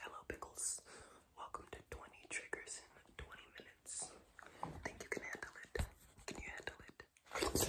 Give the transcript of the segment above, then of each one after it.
Hello, Pickles. Welcome to 20 Triggers in 20 Minutes. Think you can handle it? Can you handle it? Okay,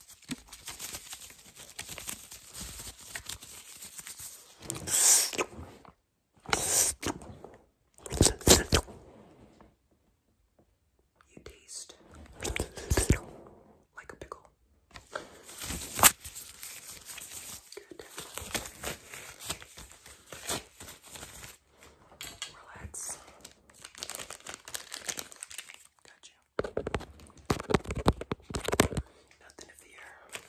You taste like a pickle. Good. Relax. Got you. Nothing of the air.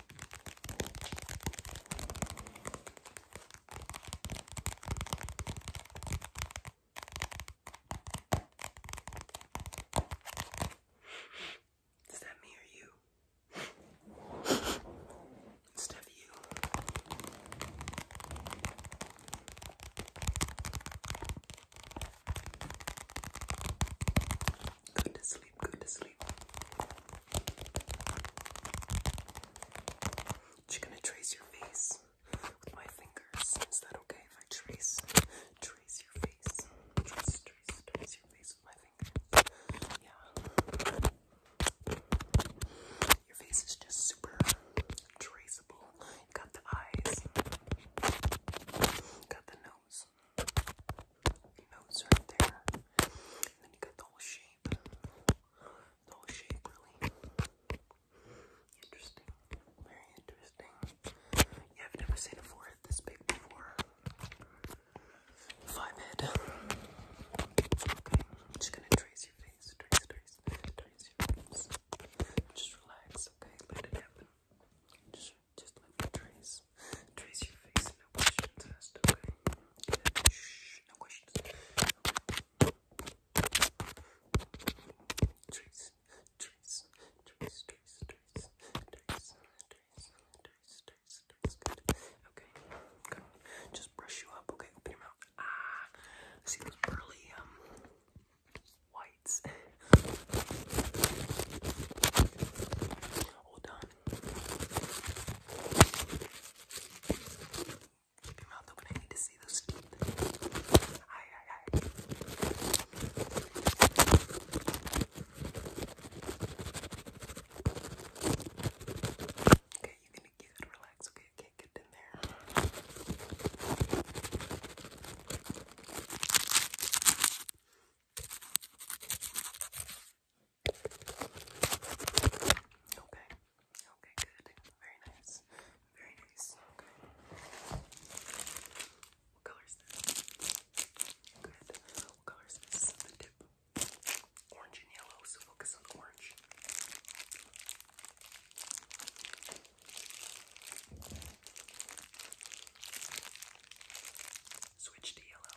Is that me or you? Is that you? sleep, good to sleep. Just gonna trace your face with my fingers. Is that okay if I trace, trace your face? Trace, trace, trace your face with my fingers. Yeah. Your face is just super traceable. You got the eyes, got the nose, notes right there. then you got the whole shape. The whole shape really interesting. Very interesting. Yeah, have never seen a forehead this big before. Five head. Okay, just gonna trace your face. Trace, trace, trace your face. Just relax, okay? Let it happen. Just just let me trace, trace your face. No questions asked. Okay. Shh. No questions. Trace, trace, trace, trace, trace, trace, trace, trace, trace, Okay. Just brush you up. Okay. Open your mouth. Ah. See those pearly um whites. Hold on. Keep your mouth open. I need to see those teeth. Hi, hi, hi. Okay, you can you can relax. Okay, okay, get in there. Okay, Okay. Okay, good. Very nice. Very nice. Okay. What color Good. What color is The tip. Orange and yellow, so focus on orange. Switch to yellow.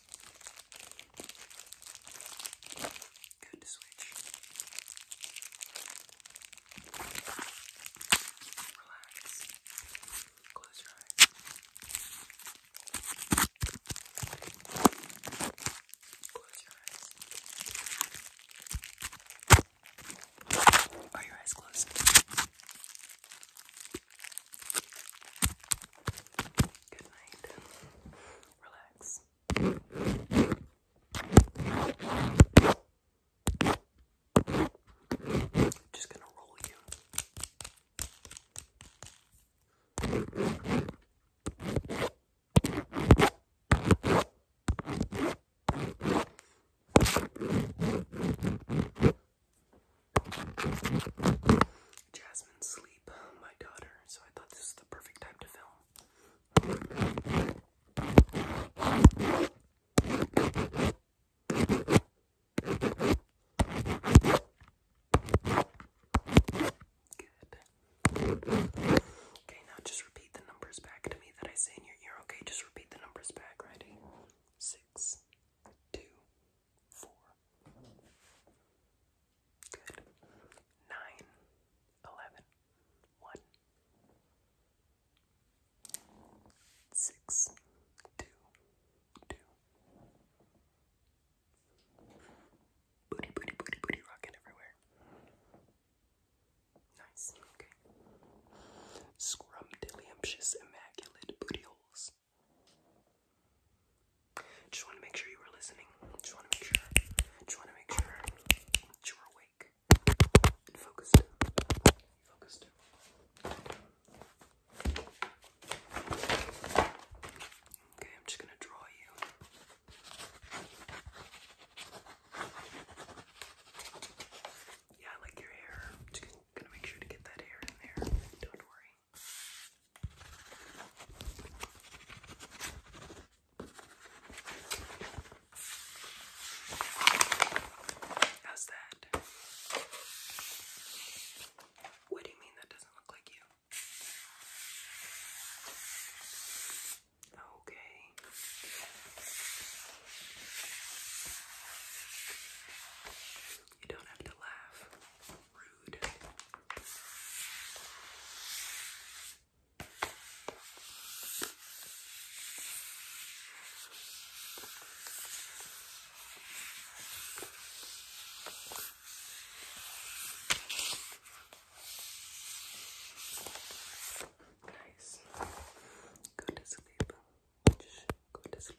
Good to switch. Relax. Close your eyes. Close your eyes. Are your eyes closed? Good night. Relax. Just gonna roll you. Jasmine Sleep, my daughter, so I thought this was the perfect time to film. Good. Okay, now just repeat the numbers back to me that I say in your ear. Okay, just repeat the numbers back. Ready? Six, two, four. Good. Nine, eleven, one, six, two, two. Booty, booty, booty, booty, rocking everywhere. Nice, okay. Scrumdiddlyumptious, immaculate booty holes. Just want to make sure you were listening. Just want to make sure. Just want to make sure you were awake and focused. Okay, I'm just gonna draw you. Yeah, I like your hair. just gonna make sure to get that hair in there. Don't worry. How's that? What do you mean that doesn't look like you? Okay. You don't have to laugh rude. Nice. Go to sleep. Just go to sleep.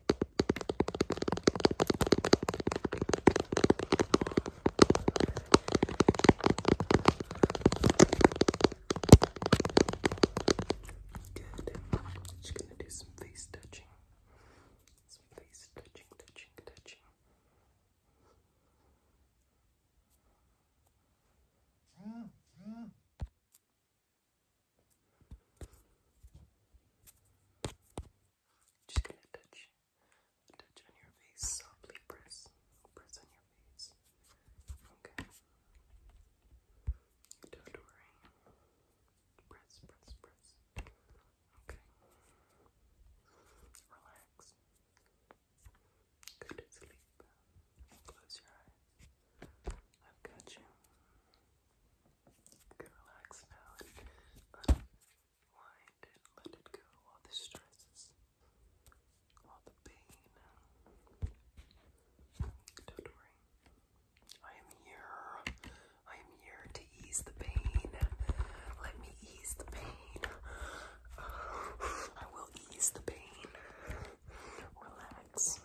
Good. Just gonna do some face touching. Some face touching, touching, touching. Mm -hmm. Just gonna touch, touch on your face softly. Press, press on your face. Okay. Don't worry. Press, press, press. Okay. Relax. Go to sleep. Close your eyes. I've got you. You relax now Wind and let it go, all the stresses, all the pain. Don't worry. I am here. I am here to ease the pain. Let me ease the pain. I will ease the pain. Relax.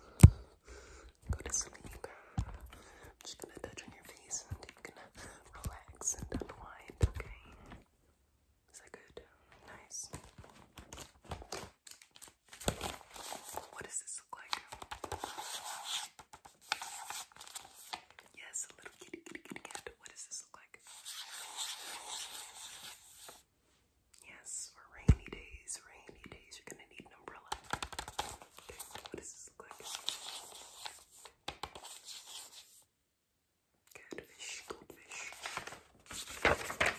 Go to sleep. just gonna touch on your face and you can relax and unwind, okay? Is that good? Nice. What does this look like? Yes, a little kitty kitty kitty cat. What does this look like? Yes, for rainy days, rainy days, you're gonna need an umbrella. what does this look like? Good fish, good fish. Perfect.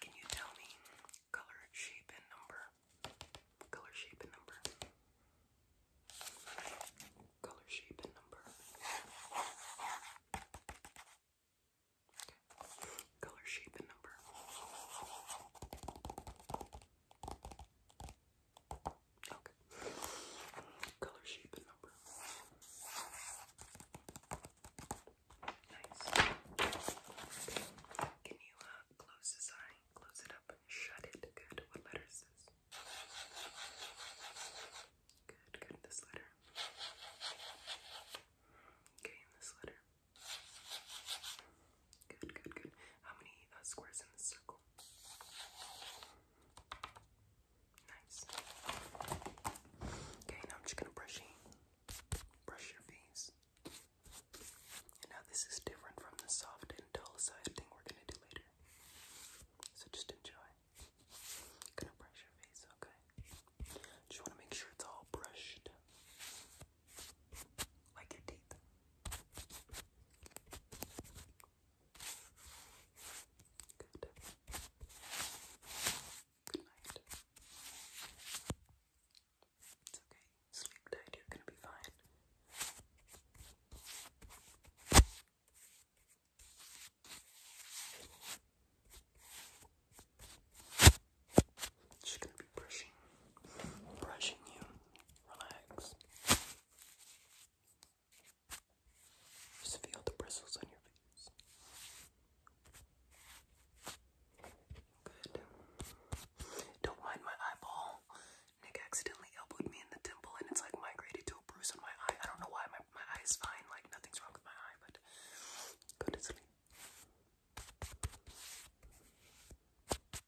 Can you tell me color, shape, and number? Color, shape, and number. Color, shape, and number. Color, shape, and number. Okay. Color, shape, and number. Nice. Can you uh, close this eye, close it up, shut it? Good. What letter is this? Good, good. This letter. Okay, this letter. Good, good, good. How many uh, squares in the circle? Nice. Okay, now I'm just gonna brush you. Brush your face. now this is different from the soft and dull side thing we're gonna do later. So just enjoy. gonna brush your face, okay? Just wanna make sure it's all brushed. Like your teeth. Good. Good night. It's okay. Sleep tight. You're gonna be fine. She's gonna be brushing, brushing you. Relax. Just feel the bristles on your face. Good. Don't mind my eyeball. Nick accidentally elbowed me in the temple and it's like migrated to a bruise on my eye. I don't know why my, my eye is fine, like nothing's wrong with my eye, but go to sleep.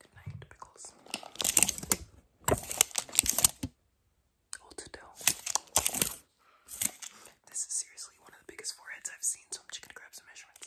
Good night, pickles. Hold still. This is seriously one of the biggest foreheads I've seen, so I'm just gonna grab some measurements.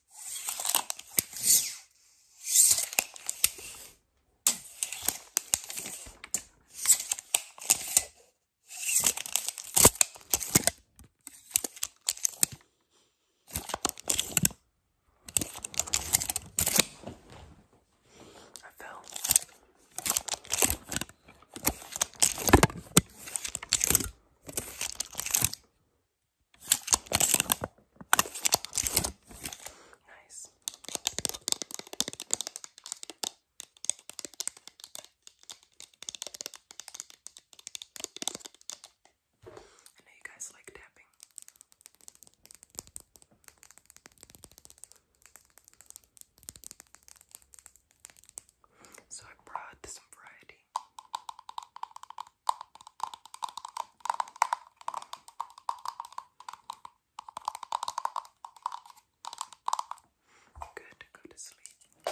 I fell. Nice. I know you guys like tapping. So I brought some variety. Good, go to sleep.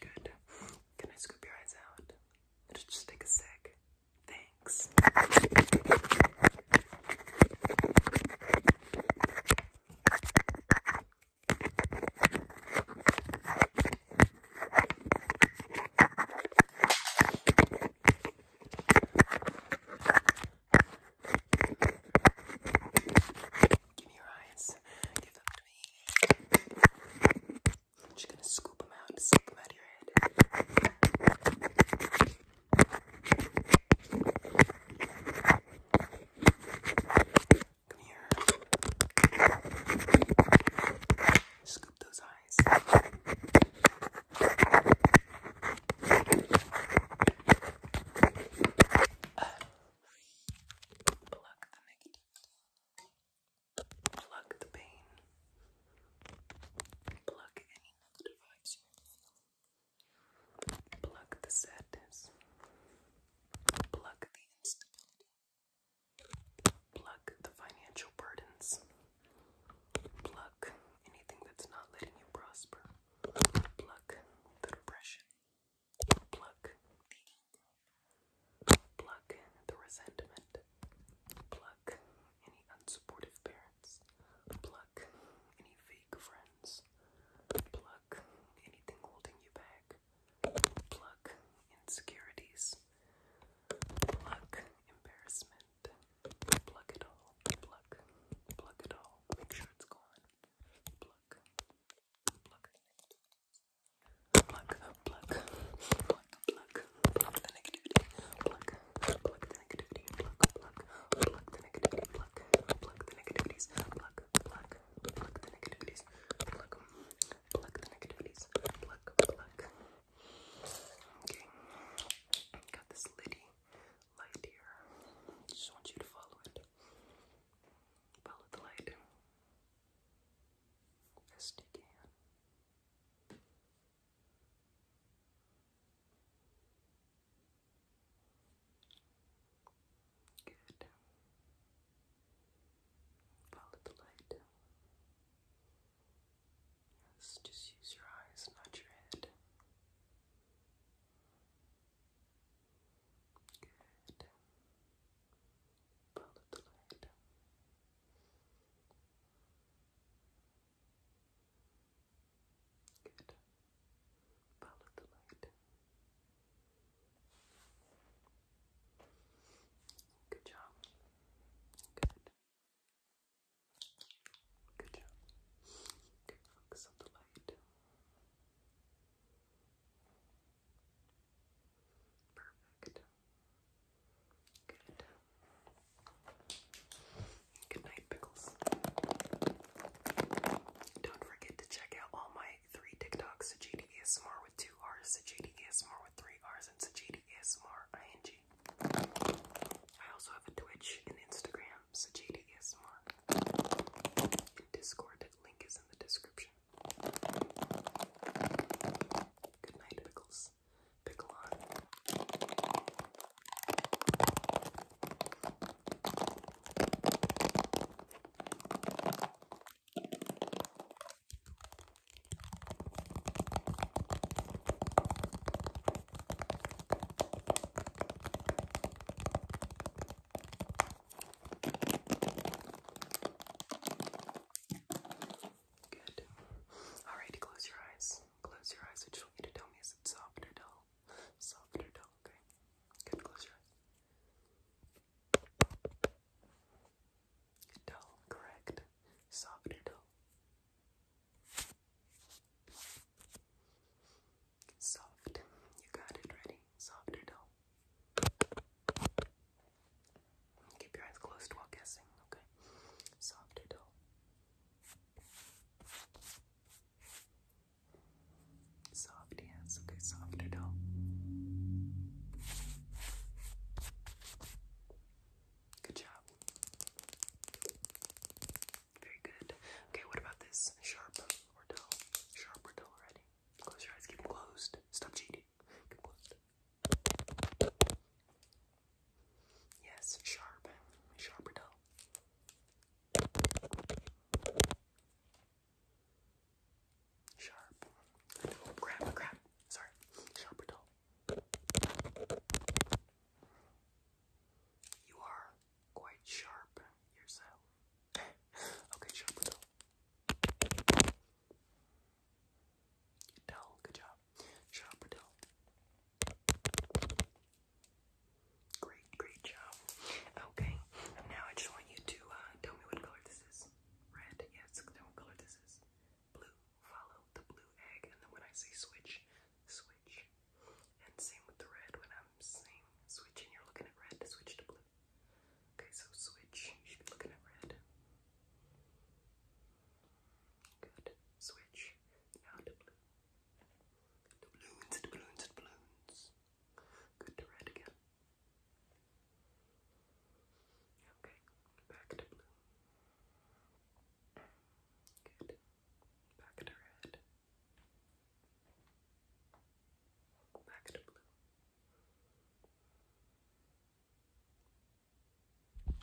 Good. Can I scoop your eyes out? It'll just take a sec. Thanks. Give me your eyes. Give them to me. I'm just gonna scoop them out, scoop them out of your head. Come here. Scoop those eyes. Uh, pluck the Pluck the pain. Pluck any negative vibes you the sadness. Pluck the instability. Plug the financial burdens. Pluck anything that's not letting you prosper. Plug the depression. Pluck the anger. Plug the resentment. Plug Pluck any unsupportive parents. Pluck any fake friends. Pluck anything holding you back. Pluck insecurities. Pluck embarrassment. Pluck it all. Pluck. Pluck it all. Make sure it's gone. Pluck. Pluck. Pluck. Pluck pluck, pluck, the negativity, pluck, pluck the negativity, pluck, pluck, pluck the negativity, pluck, pluck the negativities, pluck, pluck, pluck the negativities, pluck, pluck. Okay, got this litty light here. Just want you to follow it. Follow the light. Best you can. Good. Follow the light. Yes, just use your eyes, not your head. Good. Follow the light. Good. Follow the light. Good job. Good. Good job. Good focus the light. Perfect. Good. night, pickles. Don't forget to check out all my three TikToks: Sajidi ASMR with two R's, Sajidi ASMR with three R's, and Sajidi ASMR I also have a Twitch and Instagram, Sajidi ASMR, Discord. link is in the description. Good night, pickles this big line. Good. All right, close your eyes. Close your eyes. I just want to tell me is it soft or dull? Soft or dull, okay? Good, close your eyes. Dull, correct. Soft dull? Soft. You got it ready. Soft dull? Keep your eyes closed while guessing, okay? Soft dull? Soft hands, okay, soft at all. Good job. Very good. Okay, what about this? Sharp or dull? Sharp or dull already? Close your eyes, keep them closed. Stop cheating. Keep Yes, sharp, sharper Sharp. Oh, crap, Sorry. Sharp You are quite sharp yourself. okay, sharp dull. good job. Sharp Great, great job. Okay, now I just want you to uh, tell me what color this is. Red, yes, what color this is. Blue, follow the blue egg, and then when I say switch, switch. And same with the red, when I'm saying switch and you're looking at red, switch to blue. Okay, so switch, you should be looking at red. Good. Switch now to blue. To balloons, to balloons, to balloons. Good to red again. Okay, back to blue. Good. Back to red. Back to blue.